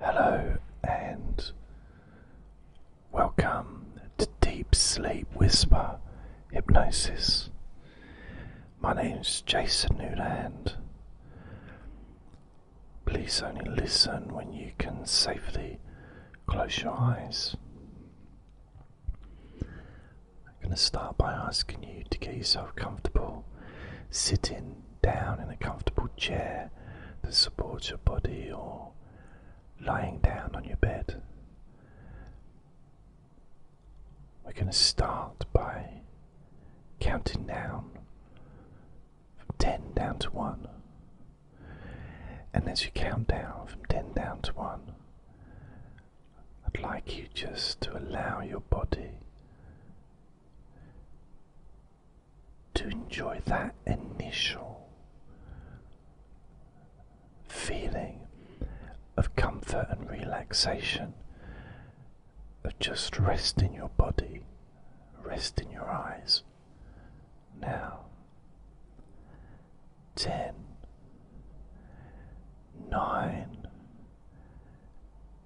Hello and welcome to Deep Sleep Whisper Hypnosis. My name is Jason Newland. Please only listen when you can safely close your eyes. I'm going to start by asking you to get yourself comfortable sit in down in a comfortable chair that supports your body or lying down on your bed. We're going to start by counting down from 10 down to 1. And as you count down from 10 down to 1, I'd like you just to allow your body to enjoy that initial feeling of comfort and relaxation, of just rest in your body, rest in your eyes. Now, ten, nine,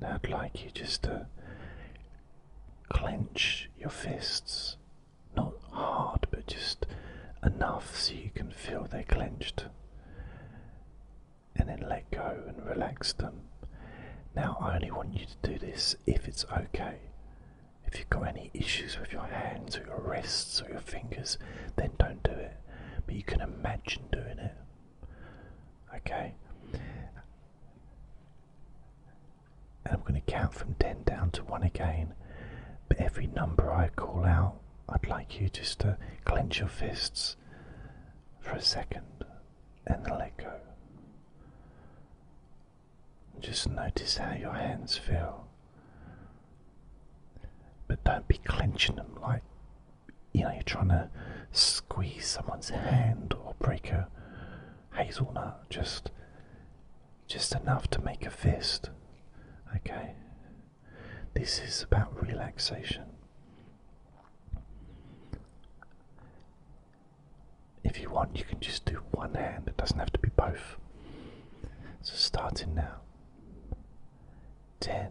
I'd like you just to clench your fists, not hard, but just enough so you can feel they're clenched, and then let go and relax them. Now, I only want you to do this if it's okay. If you've got any issues with your hands or your wrists or your fingers, then don't do it. But you can imagine doing it. Okay? And I'm going to count from 10 down to 1 again. But every number I call out, I'd like you just to clench your fists for a second and then let go. Just notice how your hands feel. But don't be clenching them like you know you're trying to squeeze someone's hand or break a hazelnut, just just enough to make a fist. Okay. This is about relaxation. If you want, you can just do one hand, it doesn't have to be both. So, starting now 10,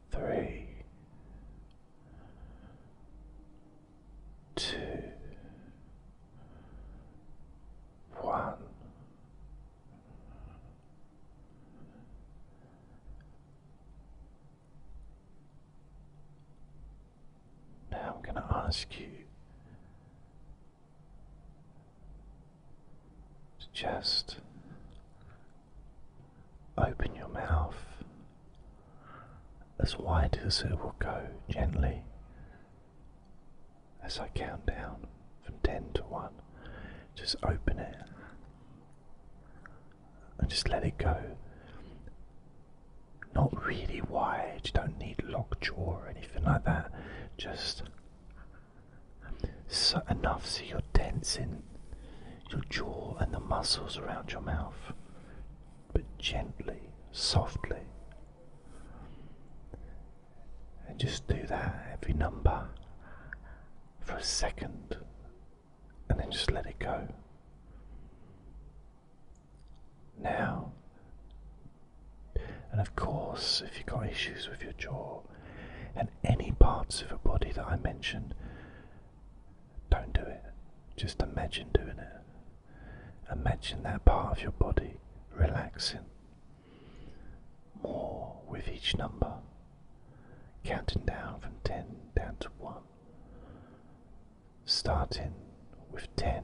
three, two, one. Now I'm going to ask you to just Open your mouth as wide as it will go gently as I count down from 10 to 1. Just open it and just let it go. Not really wide, you don't need lockjaw or anything like that. Just enough so you're tensing your jaw and the muscles around your mouth, but gently, softly. And just do that every number for a second and then just let it go. Now, and of course, if you've got issues with your jaw, and any parts of a body that I mention, don't do it. Just imagine doing it. Imagine that part of your body relaxing more with each number, counting down from 10 down to 1. Starting with 10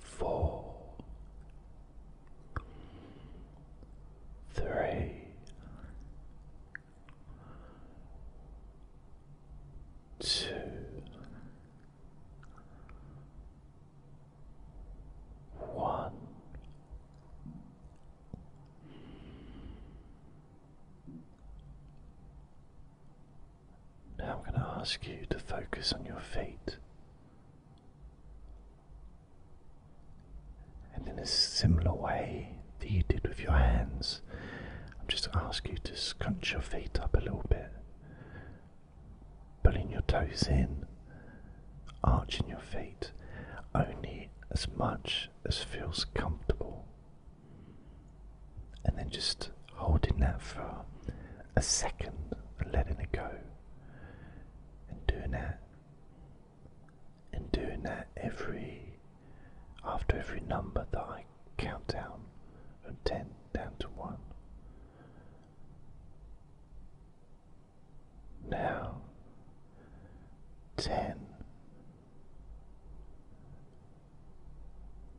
four, three, two, one. Now I'm going to ask you to focus on your feet. And in a similar way that you did with your hands, I'm just ask you to scrunch your feet up a little bit, pulling your toes in, arching your feet only as much as feels comfortable, and then just holding that for a second letting it go. And doing that, and doing that every, after every number that I count down from 10 down to 1. Now, 10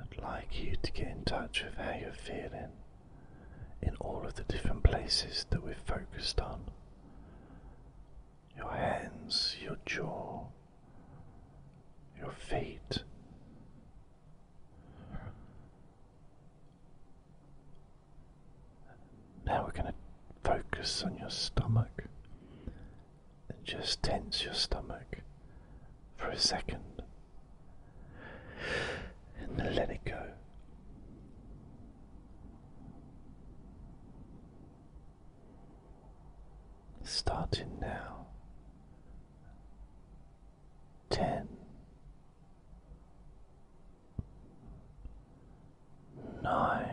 I'd like you to get in touch with how you're feeling in all of the different places that we've focused on your hands, your jaw, your feet. Now we're going to focus on your stomach and just tense your stomach for a second and then let it go. Starting now. Ten. Nine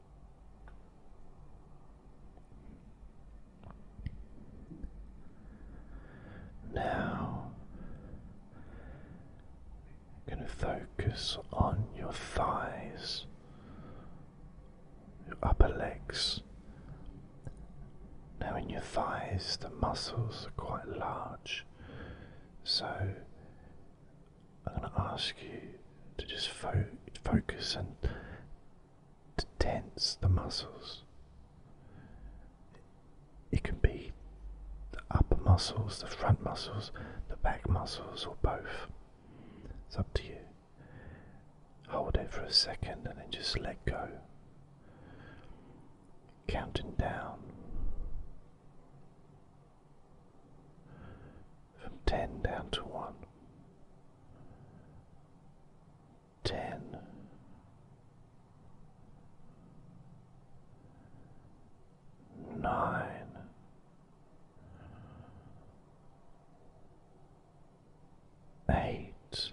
Now, going to focus on your thighs, your upper legs. Now, in your thighs, the muscles are quite large, so I'm going to ask you to just focus and to tense the muscles. It can be the upper muscles, the front muscles, the back muscles, or both. It's up to you. Hold it for a second and then just let go. Counting down from ten down to one. Ten. Nine. Eight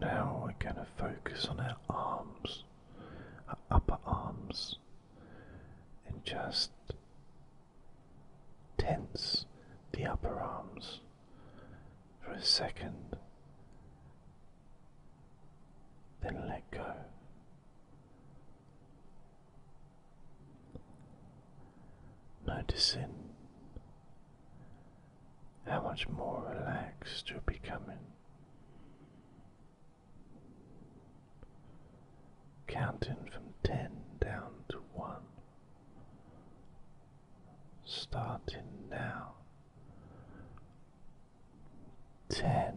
Now we're going to focus on our arms, our upper arms, and just tense the upper arms for a second, then let go. Noticing how much more relaxed you're becoming. Counting from ten down to one, starting now. Ten,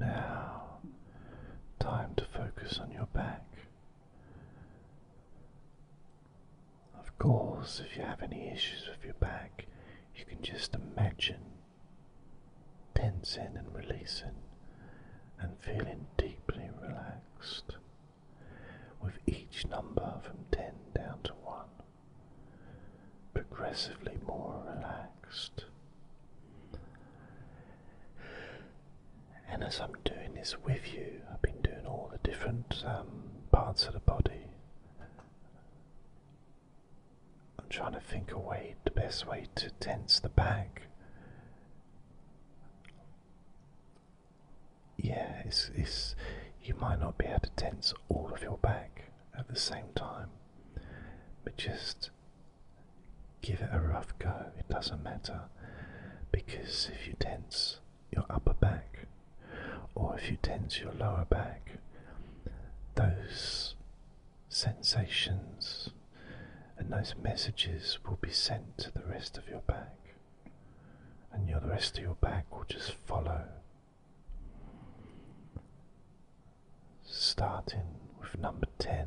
Now, time to focus on your back. Of course, if you have any issues with your back, you can just imagine tensing and releasing and feeling deeply relaxed with each number from 10 down to 1 progressively more relaxed. And as I'm doing this with you, I've been doing all the different um, parts of the body. I'm trying to think a way, the best way to tense the back yeah, it's, you might not be able to tense all of your back at the same time, but just give it a rough go. It doesn't matter because if you tense your upper back or if you tense your lower back, those sensations and those messages will be sent to the rest of your back, and the rest of your back will just follow. Starting with number 10.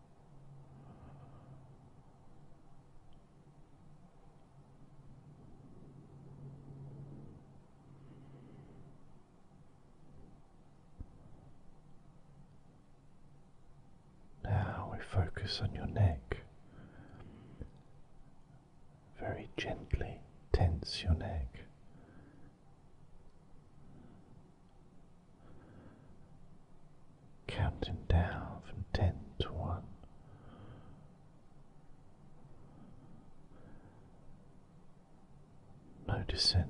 Now we focus on your neck. Very gently tense your neck counting down from ten to one. Noticing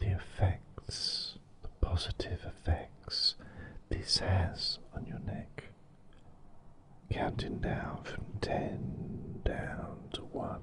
the effects, the positive effects this has on your neck, counting down from ten down to one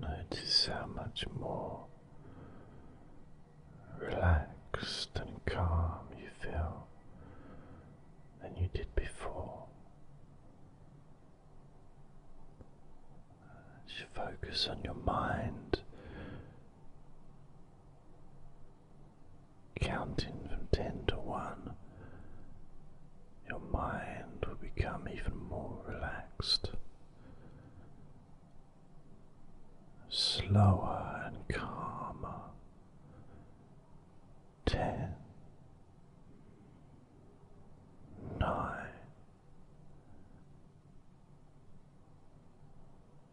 Notice how much more relaxed and calm you feel than you did before. As focus on your mind, Counting from 10 to 1, your mind will become even more relaxed, slower and calmer. 10 9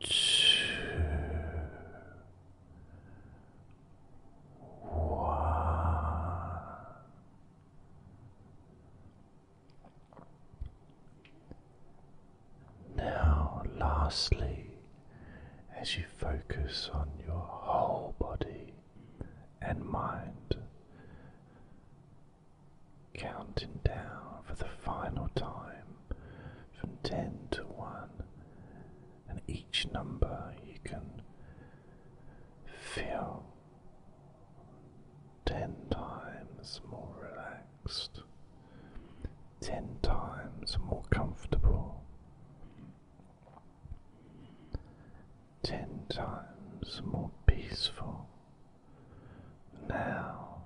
Two, one. Now, lastly, as you focus on your whole body and mind, counting down for the final time from 10 to 1, and each number you can feel 10 times more relaxed, 10 times more comfortable. Ten times more peaceful, now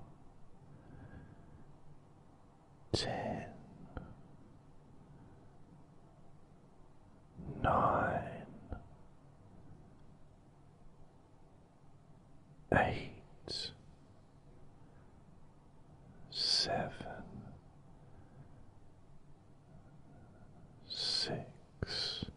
ten, nine, eight, seven, six